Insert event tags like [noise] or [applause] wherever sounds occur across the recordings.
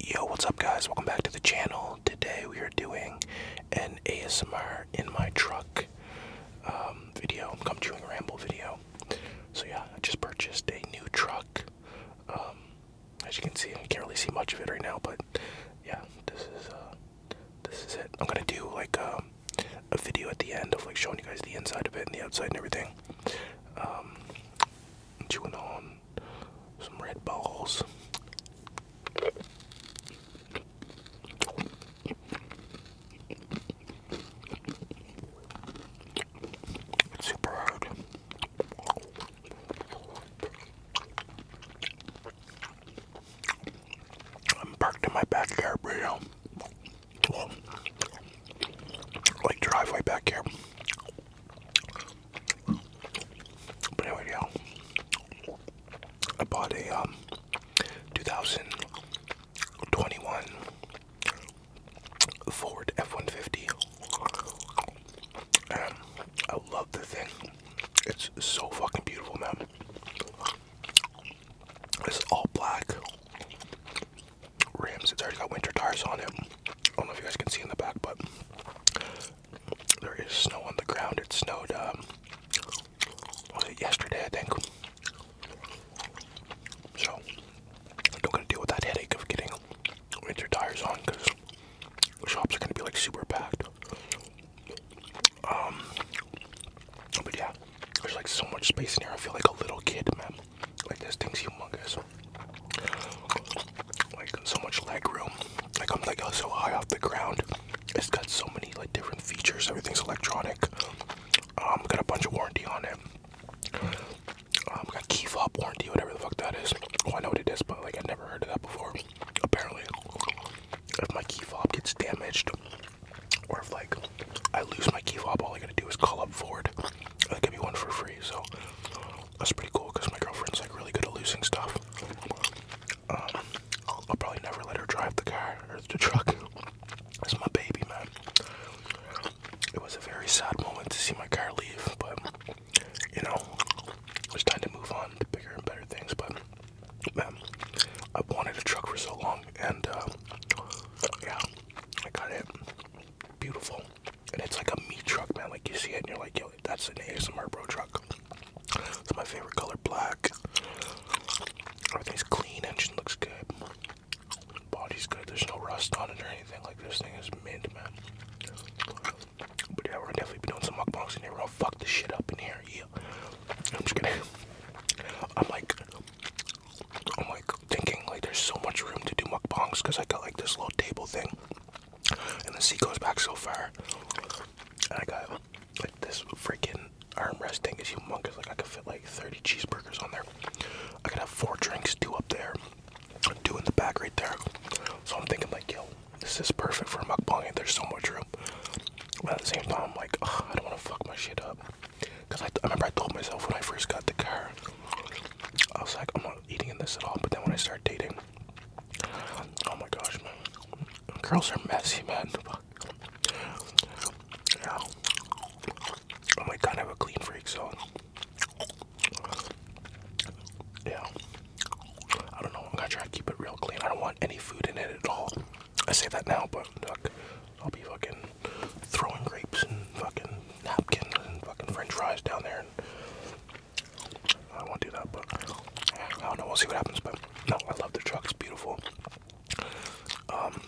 Yo, what's up guys? Welcome back to the channel. Today we are doing an ASMR in my truck um, video, come chewing ramble video. So yeah, I just purchased a new truck. Um, as you can see, I can't really see much of it right now, but yeah, this is uh, this is it. I'm gonna do like um, a video at the end of like showing you guys the inside of it and the outside and everything. Um, chewing on some Red balls. It's super hard. I'm parked in my backyard right Like driveway back here. But anyway, yeah. I bought a um, 2021 Ford F-150. And I love the thing. It's so fucking beautiful, man. It's all black rims. It's already got winter tires on it. I don't know if you guys can see in the back, but there is snow on the ground. It snowed um, yesterday, I think. So I'm not gonna deal with that headache of getting winter tires on because shops are gonna be like super packed. Um, but yeah, there's like so much space in here. I feel like a little kid, man. Like this thing's humongous. Like so much leg room. Like I'm like so high off the ground. It's got so many like different features. Everything's electronic. Um, got a bunch of warranty on it. Um, got key fob warranty, whatever the fuck that is. I know what it is, but like I never heard of that before. Apparently, if my key fob gets damaged, or if like I lose my key fob, all I gotta do is call up Ford. They will give me one for free. So that's pretty cool because my girlfriend's like really good at losing stuff. Um, I'll probably never let her drive the car or the truck. It's my baby, man. It was a very sad moment to see my car leave, but you know, it's time to move on to bigger and better things. But man, I wanted a truck for so long, and uh, yeah, I got it. Beautiful and it's like a meat truck, man. Like you see it, and you're like, yo, that's an ASMR bro truck. It's my favorite color, black. Everything's clean, engine looks good, body's good. There's no rust on it or anything. Like this thing is mint, man. But yeah, we're to definitely be doing some mukbangs in here. We're fuck this shit up in here. Yeah, I'm just gonna. I'm like, I'm like thinking like there's so much room to do mukbangs because I got like this little table thing, and the seat goes back so far, and I got like this freaking armrest thing is humongous. Like I could fit like 30 cheeseburgers on there. I could have four drinks, two up there, two in the back right there. So I'm thinking like, yo, this is perfect for mukbang, and there's so much room. But at the same time, I'm like, I don't want to fuck my shit up. Because I remember I told myself when I first got the car, I was like, I'm not eating in this at all. But then when I start dating, oh my gosh, man, girls are messy, man. Yeah. Oh my god, I'm a clean freak, so yeah. I don't know. I'm gonna try to keep it real clean. I don't want any food in it at all. I say that now, but look, I'll be fucking throwing grapes and fucking napkins and fucking French fries down there. I won't do that, but I don't know. We'll see what happens. But no, I love the truck. It's beautiful. Um,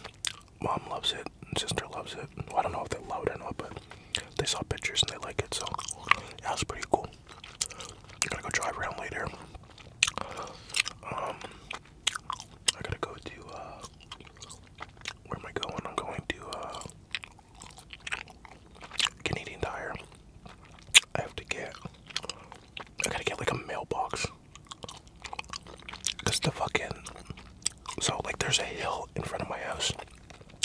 mom loves it. sister loves it. I don't know if they love it or not, but they saw pictures and they like it. So that was pretty cool. Gotta go drive around later. Um, I gotta go to. Uh, where am I going? I'm going to. Uh, Canadian Tire. I have to get. I gotta get like a mailbox. Cause the fucking. So like, there's a hill in front of my house.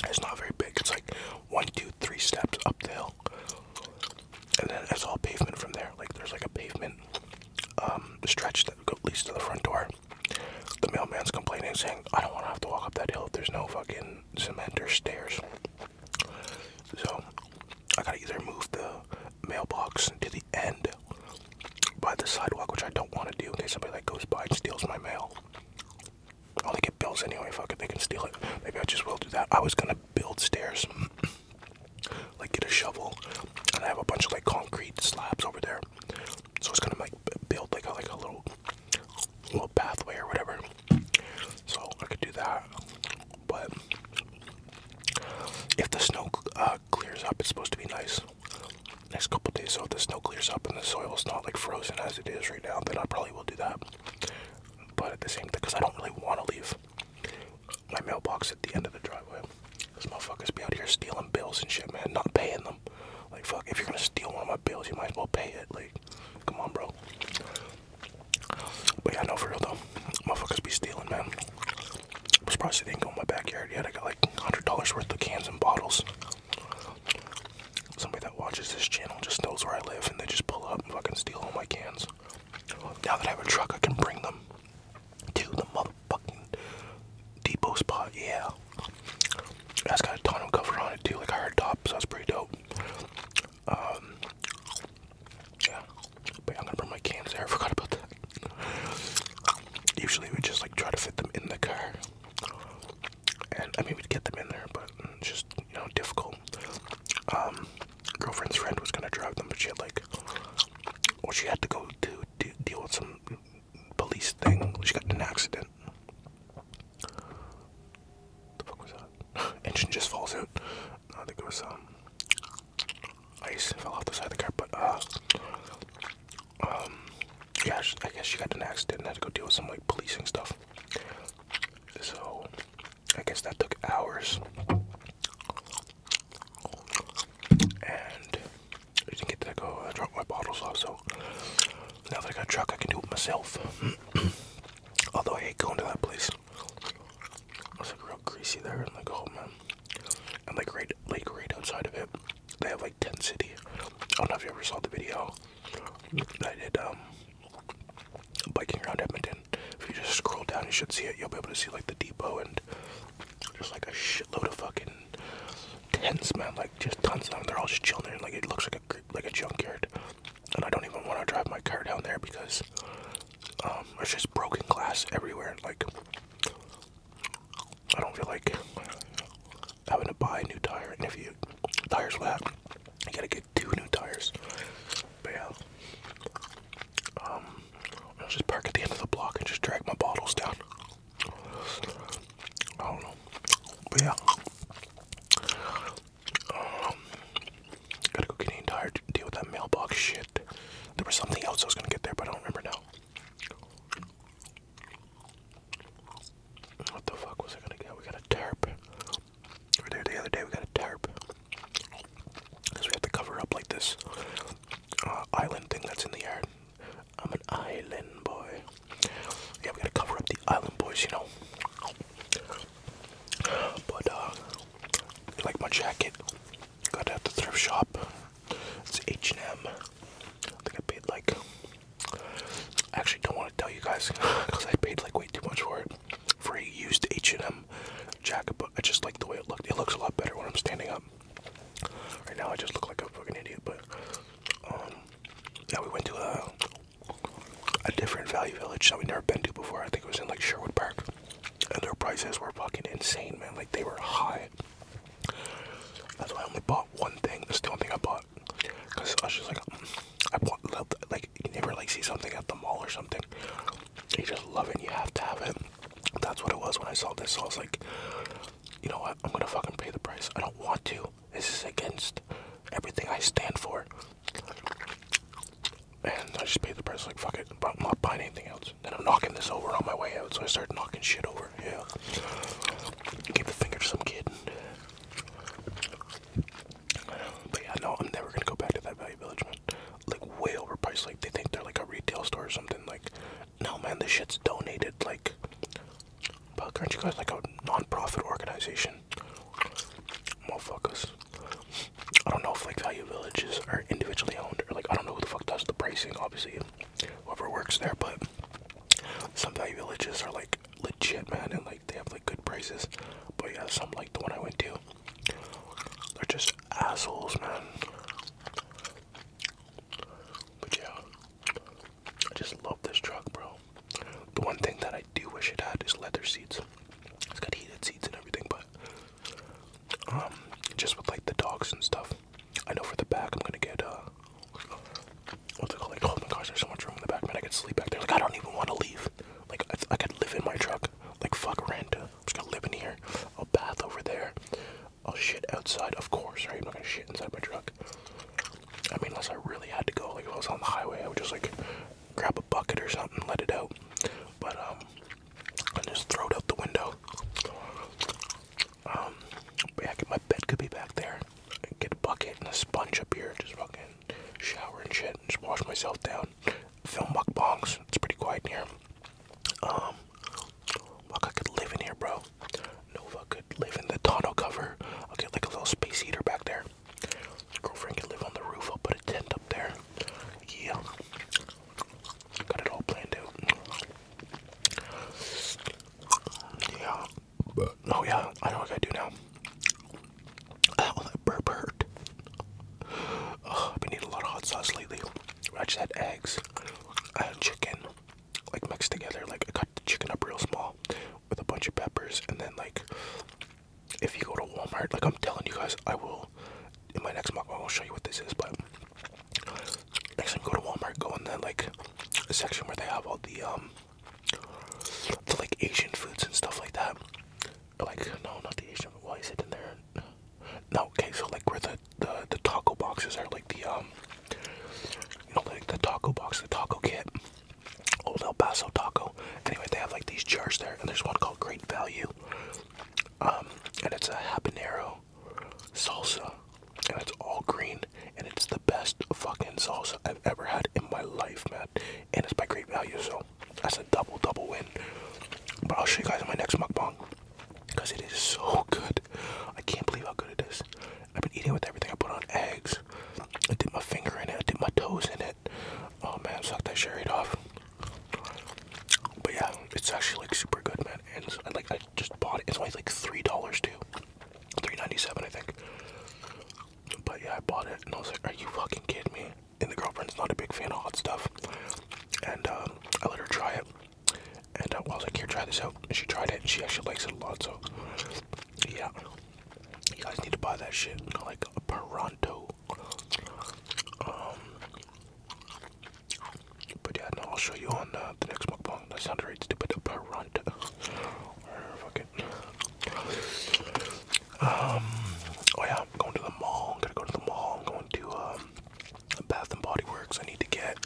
It's not very big. It's like one, two, three steps up the hill, and then it's all pavement from there. Like there's like a pavement um, stretch that leads to the front door. The mailman's complaining, saying, I don't want to have to walk up that hill if there's no fucking cement or stairs. So, I gotta either move the mailbox to the end by the sidewalk, which I don't want to do in case somebody like goes by and steals my mail. I only get bills anyway, fuck it, they can steal it. Maybe I just will do that. I was gonna build stairs, [clears throat] like get a shovel, and I have a bunch of like concrete slabs over there so it's gonna like build like a like a little little pathway or whatever. So I could do that, but if the snow uh, clears up, it's supposed to be nice. Next couple days, so if the snow clears up and the soil is not like frozen as it is right now, then I probably will do that. But at the same time, because I don't really want to leave my mailbox at the end of the driveway. This motherfuckers be out here stealing bills and shit, man, not paying them. Like fuck, if you're gonna steal one of my bills, you might as well pay it. Like, come on, bro. But yeah, know for real though, motherfuckers be stealing, man. I'm surprised they didn't go in my backyard yet. I got like $100 worth of cans and bottles. Somebody that watches this channel just knows where I live and they just pull up and fucking steal all my cans. Now that I have a truck, I can bring them to the motherfucking depot spot. Yeah. That's got a ton of cover on it too, like I heard top, so that's pretty dope. Um, yeah, but I'm gonna bring my cans there. forgot about that. Usually we just like try to fit them in the car, and I mean we'd get them in there, but mm, just you know difficult. Um, girlfriend's friend was gonna drive them, but she had like, well, she had to go to deal with some police thing. She got in an accident. The fuck was that? [laughs] Engine just falls out. I think it was um ice fell off the side of the car. But uh, um, yeah, I guess she got in an accident and had to go deal with some like policing stuff. So I guess that took hours. And I didn't get to go. I uh, dropped my bottles off, so now that I got a truck, I can do it myself. [clears throat] Although I hate going to that place. It's like real greasy there, and like, oh man. And like right, like right outside of it, they have like Tent City. I don't know if you ever saw the video that I did um, biking around Edmonton. If you just scroll down, you should see it. You'll be able to see like the depot and just like a shitload of fucking fucking man. Like just tons of them. They're all just chilling there. Like it looks like a like a junkyard. And I don't even want to drive my car down there because um, there's just broken glass everywhere. Like I don't feel like having to buy a new tire. And if you tires flat, you gotta get two new tires. But yeah. Um, I'll just park at the end of the block and just drag my bottles down. I don't know. But yeah. Um, gotta go Canadian Tire to deal with that mailbox shit. There was something else I was gonna get there, but I don't remember now. What the fuck was I gonna get? We got a tarp. We were the other day, we got a tarp. Because we have to cover up like this uh, island thing that's in the air. I'm an island boy. Yeah, we gotta cover up the island boys, you know. But uh, like my jacket, got it at the thrift shop. It's H and m I think I paid like. I actually don't want to tell you guys because [laughs] I paid like way too much for it. For a used H and M jacket, but I just like the way it looked. It looks a lot better when I'm standing up. Right now, I just look like a fucking idiot, but um, yeah, we went to a a different value village that we'd never been to before. I think it was in like Sherwood Park, and their prices were fucking insane, man. Like they were high. That's why I only bought one thing. That's the only thing I bought. Cause I was just like, mm, I bought like you never like see something at the mall or something. You just love it. you have to have it. That's what it was when I saw this. So I was like, you know what? I'm gonna fucking pay the price. I don't want to. This is against everything I stand for. And I just pay the price like fuck it. I'm not buying anything else. Then I'm knocking this over on my way out, so I start knocking shit over. Yeah. Give the finger some kid. But yeah, no, I'm never gonna go back to that value village, man. Like way overpriced. Like they think they're like a retail store or something. Like no, man, this shit's donated. Like, fuck, aren't you guys like a non-profit organization? Motherfuckers. I don't know if like Value Villages are individually owned or like I don't know who the fuck does the pricing. Obviously, whoever works there, but some Value Villages are like legit, man, and like they have like good prices. But yeah, some like the one I went to, they're just assholes, man. But yeah. I just love this truck, bro. The one thing that I do wish it had is leather seats. It's got heated seats and everything, but um, just with like the dogs and stuff. I know for the back, I'm gonna get uh, what's it called? Like, oh my gosh, there's so much room in the back, man. I could sleep back there. Like, I don't even want to leave. Like, I, could live in my truck. Like, fuck rent. I'm just gonna live in here. A bath over there. I'll shit outside, of course, right? I'm not gonna shit inside my truck. I mean, unless I really had to go, like if I was on the highway, I would just like grab a bucket or something, let it out. But um, I just throw it out the window. Um, but my bed could be back there. get a bucket and a sponge up here, just fucking shower and shit, and just wash myself down. Film mukbangs. It's pretty quiet in here. Um, fuck, I could live in here, bro. Nova could live in the tonneau cover. I'll get like a little space heater back there. Girlfriend can live on the roof. I'll put a tent up there. Yeah. Got it all planned out. Yeah. Oh yeah, I know what I do now. Oh, that burp hurt. I've been eating a lot of hot sauce lately. I just had eggs. I had chicken like mixed together. Like I cut the chicken up real small with a bunch of peppers, and then like if you go to Walmart, like I'm telling you guys, I will in my next mukbang I'll not show you what this is. But next time you go to Walmart, go in the like section where they have all the um the like Asian foods and stuff like that. Like no, not the Asian. Why is it in there? No, okay, so like where the the, the taco boxes are like the um you know like the taco box, the taco kit, old El Paso taco. Anyway, they have like these jars there, and there's one called Great Value, um, and it's a habanero salsa, and it's all green, and it's the best fucking salsa I've ever had in my life, man. And it's by Great Value, so that's a double double win. But I'll show you guys my next mukbang because it is so good. I can't believe how good it is. I've been eating it with everything. I put on eggs. I dip my finger in it. I dip my toes in it. Oh man, sucked that shit right off. But yeah, it's actually like super good, man. And I like I just bought it. It's only like three dollars too. Three ninety seven, I think. But yeah, I bought it, and I was like, "Are you fucking kidding me?" And the girlfriend's not a big fan of hot stuff, and um, I let her try it. And uh, well, I was like, here, try this out. And she tried it, and she actually likes it a lot. So, yeah, you guys need to buy that shit. Like a Paranto. Um, but yeah, no, I'll show you on uh, the next mukbang. That sounded right stupid. A Paranto. Fuck it. Um. Oh yeah, I'm going to the mall. I'm gonna go to the mall. I'm going to um, Bath and Body Works. I need to get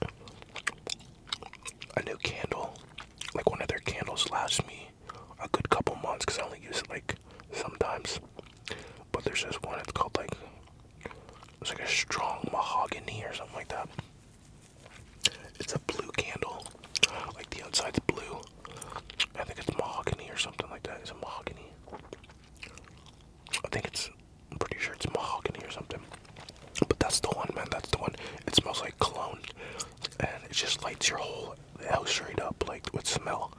a new candle, like one of their candles lasts me a good couple months because I only use it like sometimes. But there's this one, it's called like, it's like a strong mahogany or something like that. It's a blue candle, like the outside's blue. I think it's mahogany or something like that. Is it mahogany? I think it's I'm pretty sure it's mahogany or something. But that's the one, man. That's the one. It smells like cologne, and it just lights your whole house straight up, like with smell.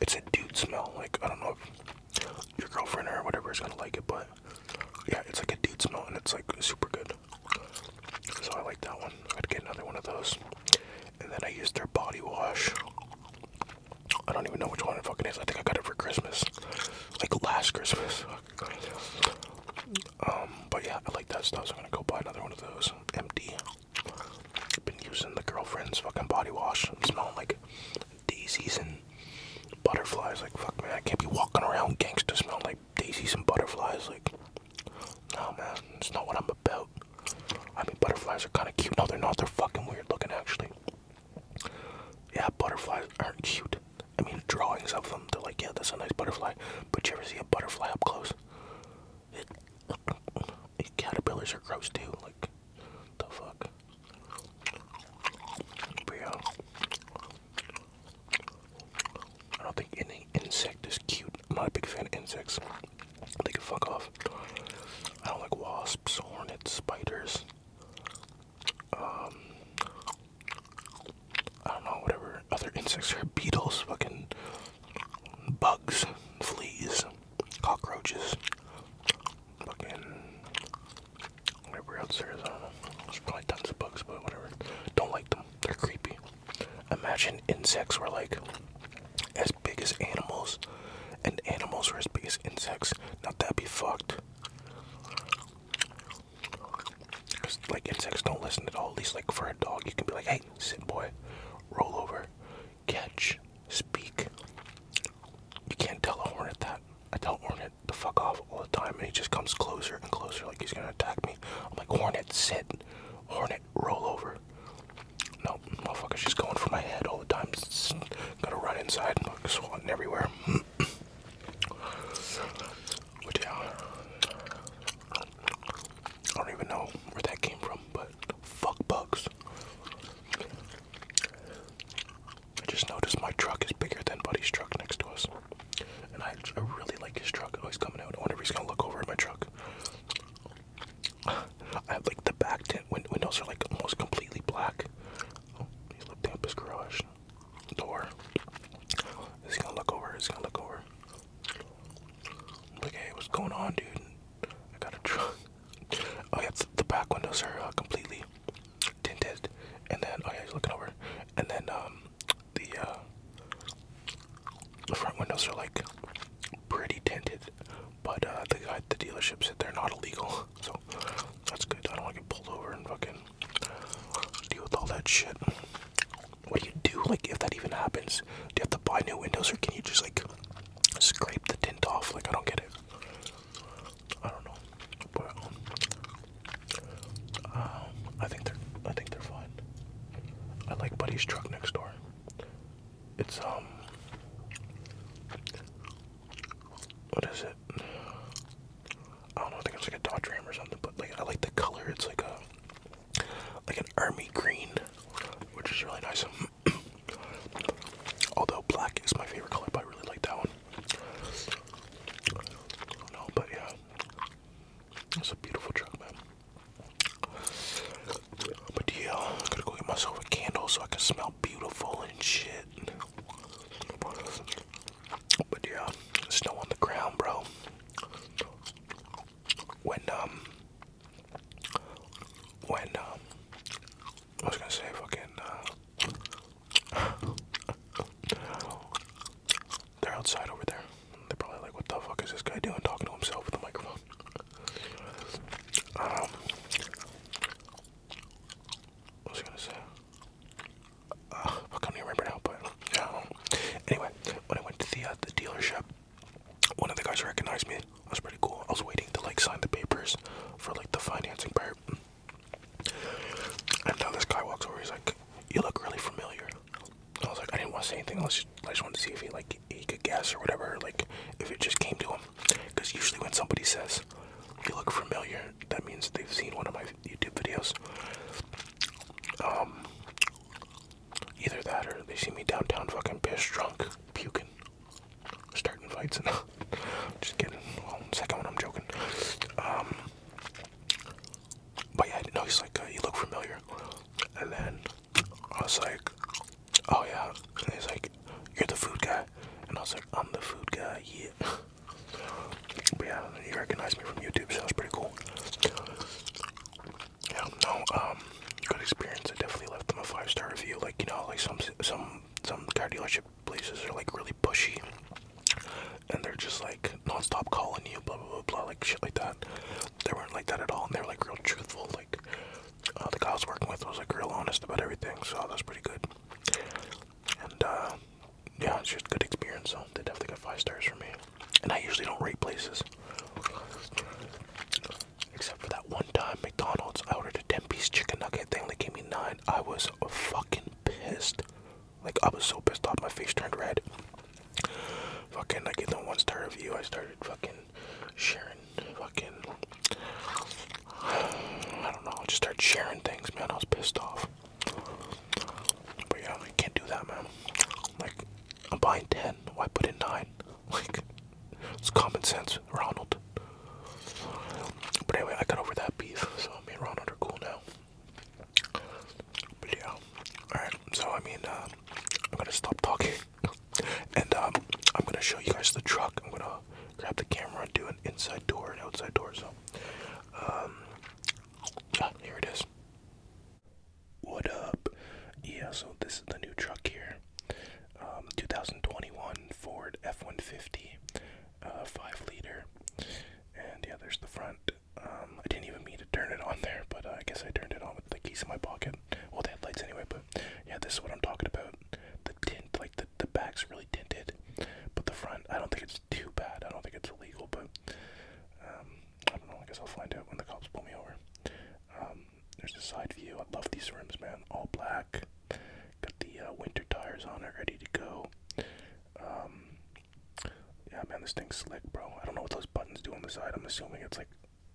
It's a dude smell. Like I don't know if your girlfriend or whatever is gonna like it, but yeah, it's like a dude smell, and it's like super good. So I like that one. I would get another one of those. And then I used their body wash. I don't even know which one it fucking is. I think I got it for Christmas like last Christmas. Um, but yeah, I like that stuff, so I'm gonna go buy another one of those. Empty. Been using the girlfriend's fucking body wash. I'm smelling like daisies and butterflies. Like fuck, man, I can't be walking around gangster smelling like daisies and butterflies. Like, no, man, it's not what I'm about. I mean, butterflies are kind of cute. No, they're not. They're fucking weird looking, actually. Yeah, butterflies aren't cute. I mean, drawings of them, they're like, yeah, that's a nice butterfly. But you ever see a butterfly up close? It, caterpillars are gross too. Like, the fuck? I don't think any insect is cute. I'm not a big fan of insects. They can fuck off. I don't like wasps, hornets, spiders. Um, I don't know, whatever other insects are, beetles, fucking bugs, fleas, cockroaches, fucking whatever else there is, There's probably tons of bugs, but whatever. Don't like them. They're creepy. Imagine insects were like as big as animals, and animals were as big as insects. Now that'd be fucked like insects don't listen at all. At least like for a dog, you can be like, "Hey, sit, boy, roll over, catch, speak." You can't tell a hornet that. I tell hornet to fuck off all the time, and he just comes closer and closer, like he's gonna attack me. I'm like, "Hornet, sit. Hornet, roll over." No, motherfucker, she's going for my head all the time. It's, it's, gotta run inside and like, swatting everywhere. [clears throat] But yeah, I don't even know where that came from, but fuck bugs. I just noticed my truck is bigger than Buddy's truck next to us. And I, I really like his truck. Oh, he's coming out. I wonder if he's gonna look over at my truck. I have like the back tent windows are like almost completely black. Oh, he's looked up his garage door. He's gonna look over. He's gonna look over. Like, hey, what's going on, dude? I got a truck. Oh yeah, the back windows are uh, completely tinted. And then, oh yeah, he's looking over. And then, um, the uh, the front windows are like pretty tinted. But uh, the guy the dealership said they're not illegal. [laughs] so that's good. I don't want to get pulled over and fucking deal with all that shit. What do you do, like, if that even happens? Do you have to buy new windows, or can you just like scrape the tint off? Like, I don't get it. I don't know, but um, I think they're I think they're fine. I like Buddy's truck next door. It's um what is it? I don't know. I think it's like a Dodge Ram or something. But like, I like the color. It's like a like an army green, which is really nice. [clears throat] Although black is my favorite color, but I really like that one. No, but yeah, it's a beautiful truck, man. But yeah, I'm gonna go get myself a candle so I can smell beautiful and shit. But yeah, snow on the ground, bro. When um, when um, I was gonna say fucking uh, [laughs] they're outside over there. They're probably like, what the fuck is this guy doing, talking to himself with a microphone? Um, what was I gonna say? Uh, I can't remember now, but yeah. Anyway, when I went to the uh, the dealership, one of the guys recognized me. I was pretty cool. I was waiting to like sign the papers for like the financing part. And now this guy walks over. He's like, "You look really familiar." I was like, I didn't want to say anything. Unless I just wanted to see if he like he could guess or whatever. Like if it just came to him, because usually when somebody says, if you look familiar, that means they've seen one of my YouTube videos. Um, either that or they see me downtown fucking piss drunk, puking, starting fights and [laughs] just kidding. second one, I'm joking. Um, but yeah, I didn't know he's like, uh, you look familiar. And then I was like, oh yeah. And he's like, you're the food guy guy. And I was like, I'm the food guy, yeah. [laughs] but yeah, he recognized me from YouTube, so that was pretty cool. Yeah, no, um, good experience. I definitely left them a five star review. Like, you know, like some some some car dealership places are like really pushy, and they're just like nonstop calling you, blah blah blah blah, like shit like that. They weren't like that at all, and they were like real truthful. Like uh, the guy I was working with was like real honest about everything, so that's pretty good. And uh, yeah, it's just a good experience. So they definitely got five stars for me. And I usually don't rate places, except for that one time McDonald's. I ordered a ten-piece chicken nugget. thing. They gave me nine. I was fucking pissed. Like I was so pissed off, my face turned red. Fucking, I gave them one star review. I started fucking sharing fucking I don't know. I just started sharing things, man. I was pissed off. But yeah, I can't do that, man. Like, I'm buying 10. Why put in 9? [laughs] Like, it's common sense, Ronald. But anyway, I got over that beef, so me and Ronald are cool now. But yeah. Alright, so I mean, uh, I'm gonna stop talking. [laughs] and um, I'm gonna show you guys the truck. I'm gonna grab the camera and do an inside door and outside door. So, um, ah, here it is. What up? Yeah, so this is the new truck here. Um, 2021 Ford F-150, uh, 5 liter. And yeah, there's the front. Um, I didn't even mean to turn it on there, but uh, I guess I turned it on with the keys in my pocket. Well, they had lights anyway, but yeah, this is what I'm talking about. The tint, like the the, back's really tinted, but the front, I don't think it's too bad. I don't think it's illegal, but um, I don't know. I guess I'll find out when the cops pull me over. Um, there's a side view. I love these rims, man. All black. Got the uh, winter tires on it, ready to go. Um, yeah, man, this thing's slick, bro. I don't know what those buttons do on the side. I'm assuming it's like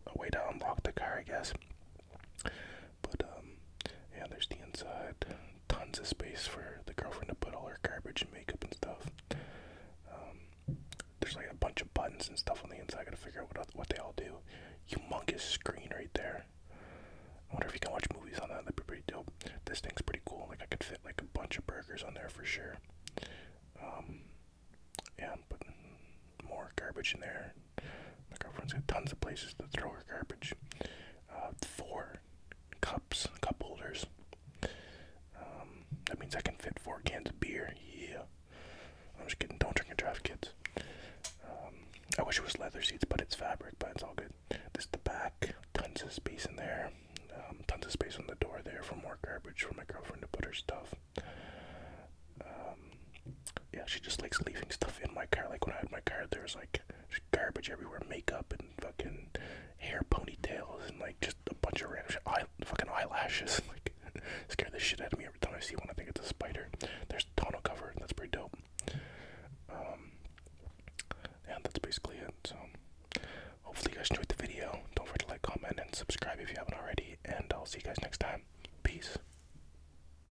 a way to unlock the car, I guess. But um, yeah, there's the inside. Tons of space for the girlfriend to put all her garbage and makeup and stuff. Um, there's like a bunch of buttons and stuff on the inside. gotta figure out what what they all do. Humongous screen right there. I wonder if you can watch movies on that. That'd be pretty dope. This thing's pretty cool. Like I could fit like a bunch of burgers on there for sure. Um, yeah, but more garbage in there. My girlfriend's got tons of places to throw her garbage. Uh, four cups, cup holders. Um, that means I can fit four cans of beer. Yeah. I'm just kidding. Don't drink and drive, kids. Um, I wish it was leather seats, but it's fabric, but it's all good. This the back. Tons of space in there. Um, tons of space on the door there for more garbage for my girlfriend to put her stuff yeah, she just likes leaving stuff in my car. Like when I had my car, there was like garbage everywhere, makeup and fucking hair ponytails and like just a bunch of random fucking eyelashes. [laughs] Like [laughs] scare the shit out of me every time I see one. I think it's a spider. There's a tonneau cover. That's pretty dope. Um, yeah, that's basically it. So hopefully you guys enjoyed the video. Don't forget to like, comment, and subscribe if you haven't already. And I'll see you guys next time. Peace.